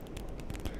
Deep in your ears.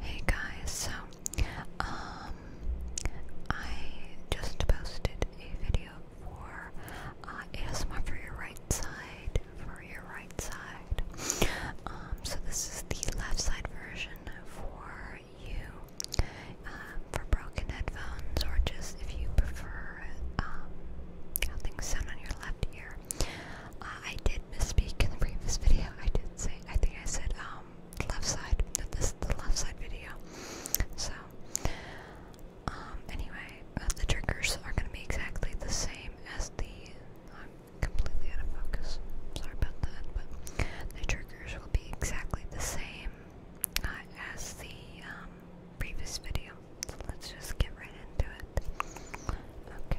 Hey guys, so um I just posted a video for uh, ASMR for your right side for your right side. Um so this is the left side version for you uh, for broken headphones, or just if you prefer um, sound on your left ear. Uh, I did misspeak in the previous video. I did say, I think I said um, left side. This is the left side video. So, um, anyway, uh, the triggers are going to be exactly the same as the um, completely out of focus. Sorry about that, but the triggers will be exactly the same as the um, previous video. let's just get right into it. Okay,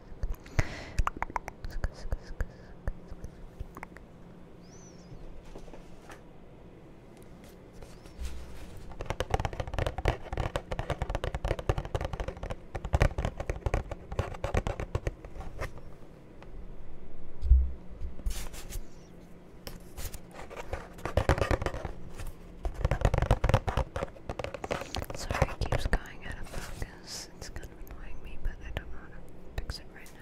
Sorry, it keeps going out of focus because it's kind of annoying me, but I don't know how to fix it right now.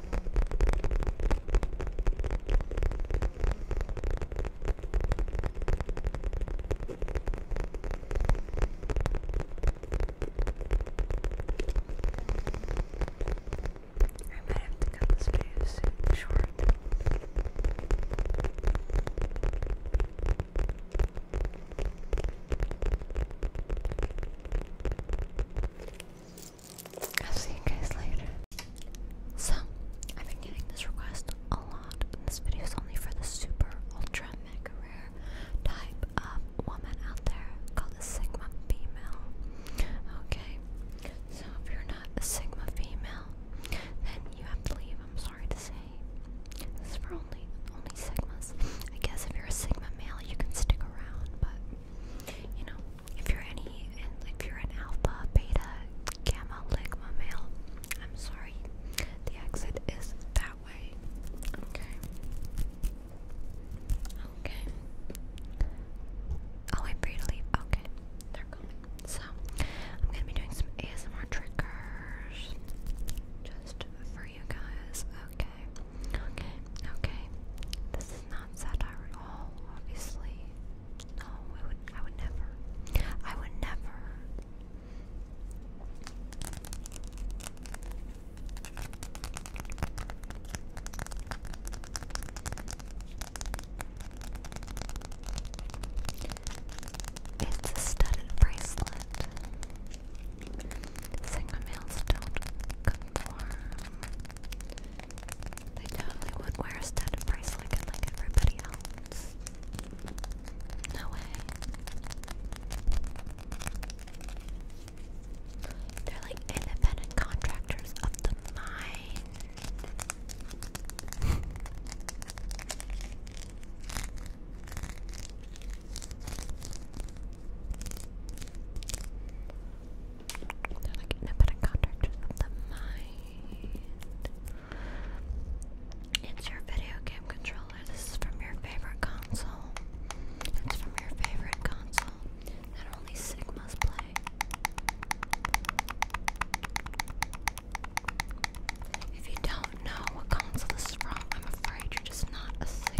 I might have to cut this video soon, short. I'll see you guys later. So, I've been getting this request a lot, this video is only for the super ultra mega rare type of woman out there called a Sigma female. Okay, so if you're not a Sigma female, then you have to leave. I'm sorry to say. This is for only only Sigmas. I guess if you're a Sigma male, you can stick around, but you know, if you're any, if you're an alpha, beta, gamma, ligma male, I'm sorry, the exit is that way. Okay. Okay. I'll oh, wait for you to leave. Okay, they're coming. So, I'm gonna be doing some ASMR triggers just for you guys. Okay. Okay. Okay is not satire at all, obviously. No, we would I would never. I would never It's a studded bracelet. Sigma males don't conform. They totally would wear a studded bracelet like everybody else. No way. They're like independent contractors of the mine. It's your video game controller. This is from your favorite console. It's from your favorite console that only Sigmas play. If you don't know what console this is from, I'm afraid you're just not a Sigma.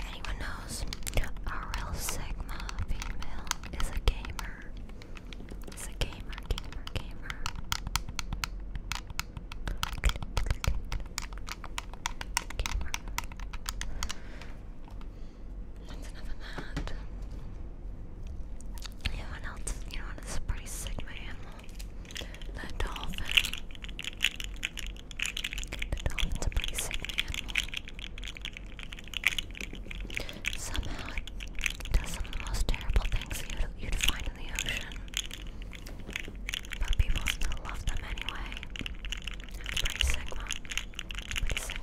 anyone knows, RL Sigma female is a gamer. Is a gamer, gamer, gamer. Gamer. That's enough of that. Anyone else? You know what? It's a pretty Sigma animal. The dolphin. The dolphin's a pretty Somehow it does some of the most terrible things you'd, find in the ocean. But people still love them anyway. That's pretty sick, one. Pretty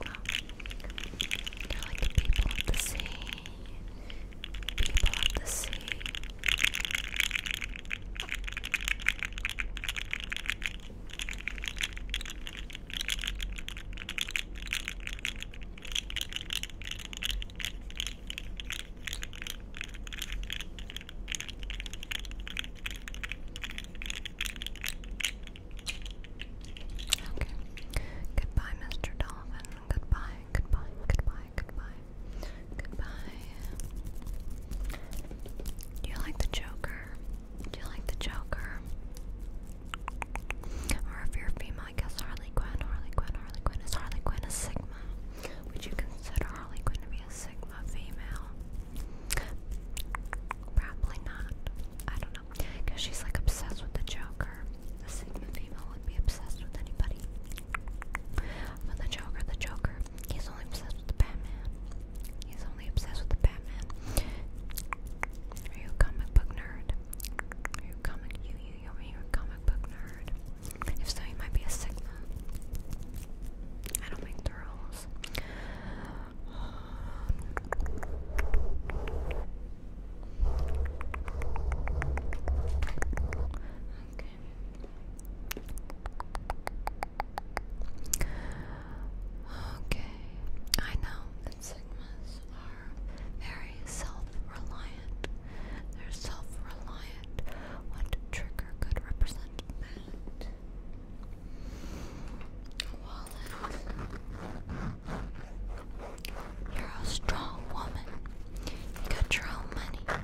are like the people of the sea. People of the sea. Okay. Goodbye, Mr. Dolphin. Goodbye, goodbye, goodbye, goodbye, goodbye. Do you like the Joker? Do you like the Joker? Or if you're female, I guess Harley Quinn, Harley Quinn, Harley Quinn. Is Harley Quinn a Sigma? Would you consider Harley Quinn to be a Sigma female? Probably not. I don't know. Because she's like obsessed with the Joker. A Sigma female would be obsessed with anybody. But the Joker, the Joker He's only obsessed with the Batman. He's only obsessed with the Batman. Are you a comic book nerd? Are you a comic you you you are you a comic book nerd? If so you might be a Sigma. I don't make the Okay. Okay, I know that Sigmas are very self-reliant. They're self-reliant. What trigger could represent that? wallet. You're a strong woman. You got your own money.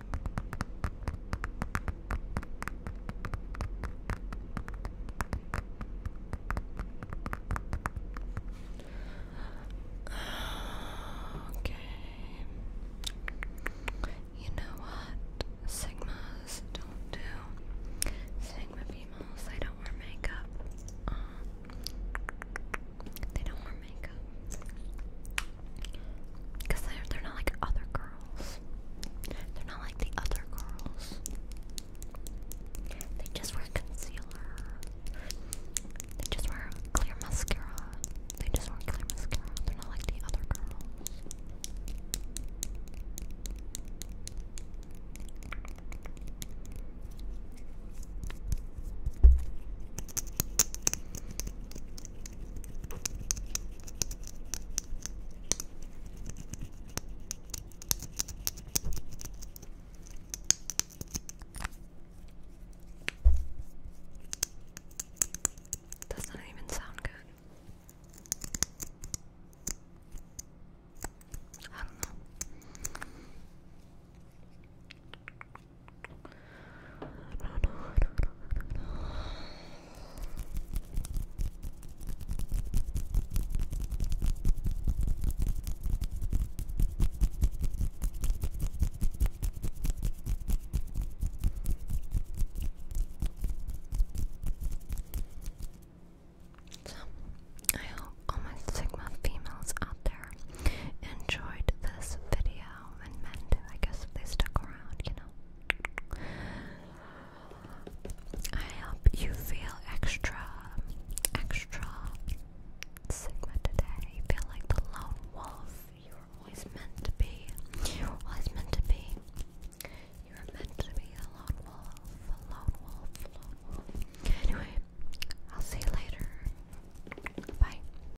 Okay. You know what? Sigmas don't do Sigma females, they don't wear makeup. Uh, they don't wear makeup. Because they're, they're not like other girls. They're not like the other girls. They just wear concealer. They just wear clear mascara. They just wear clear mascara. They're not like the other girls. Does not even sound good. I don't know. So, I hope all my Sigma females out there enjoyed this video. I hope you feel extra, extra Sigma today. You feel like the lone wolf. You were always meant to be. You meant to be. You were meant to be a lone wolf, lone wolf, lone wolf. Anyway, I'll see you later. Bye.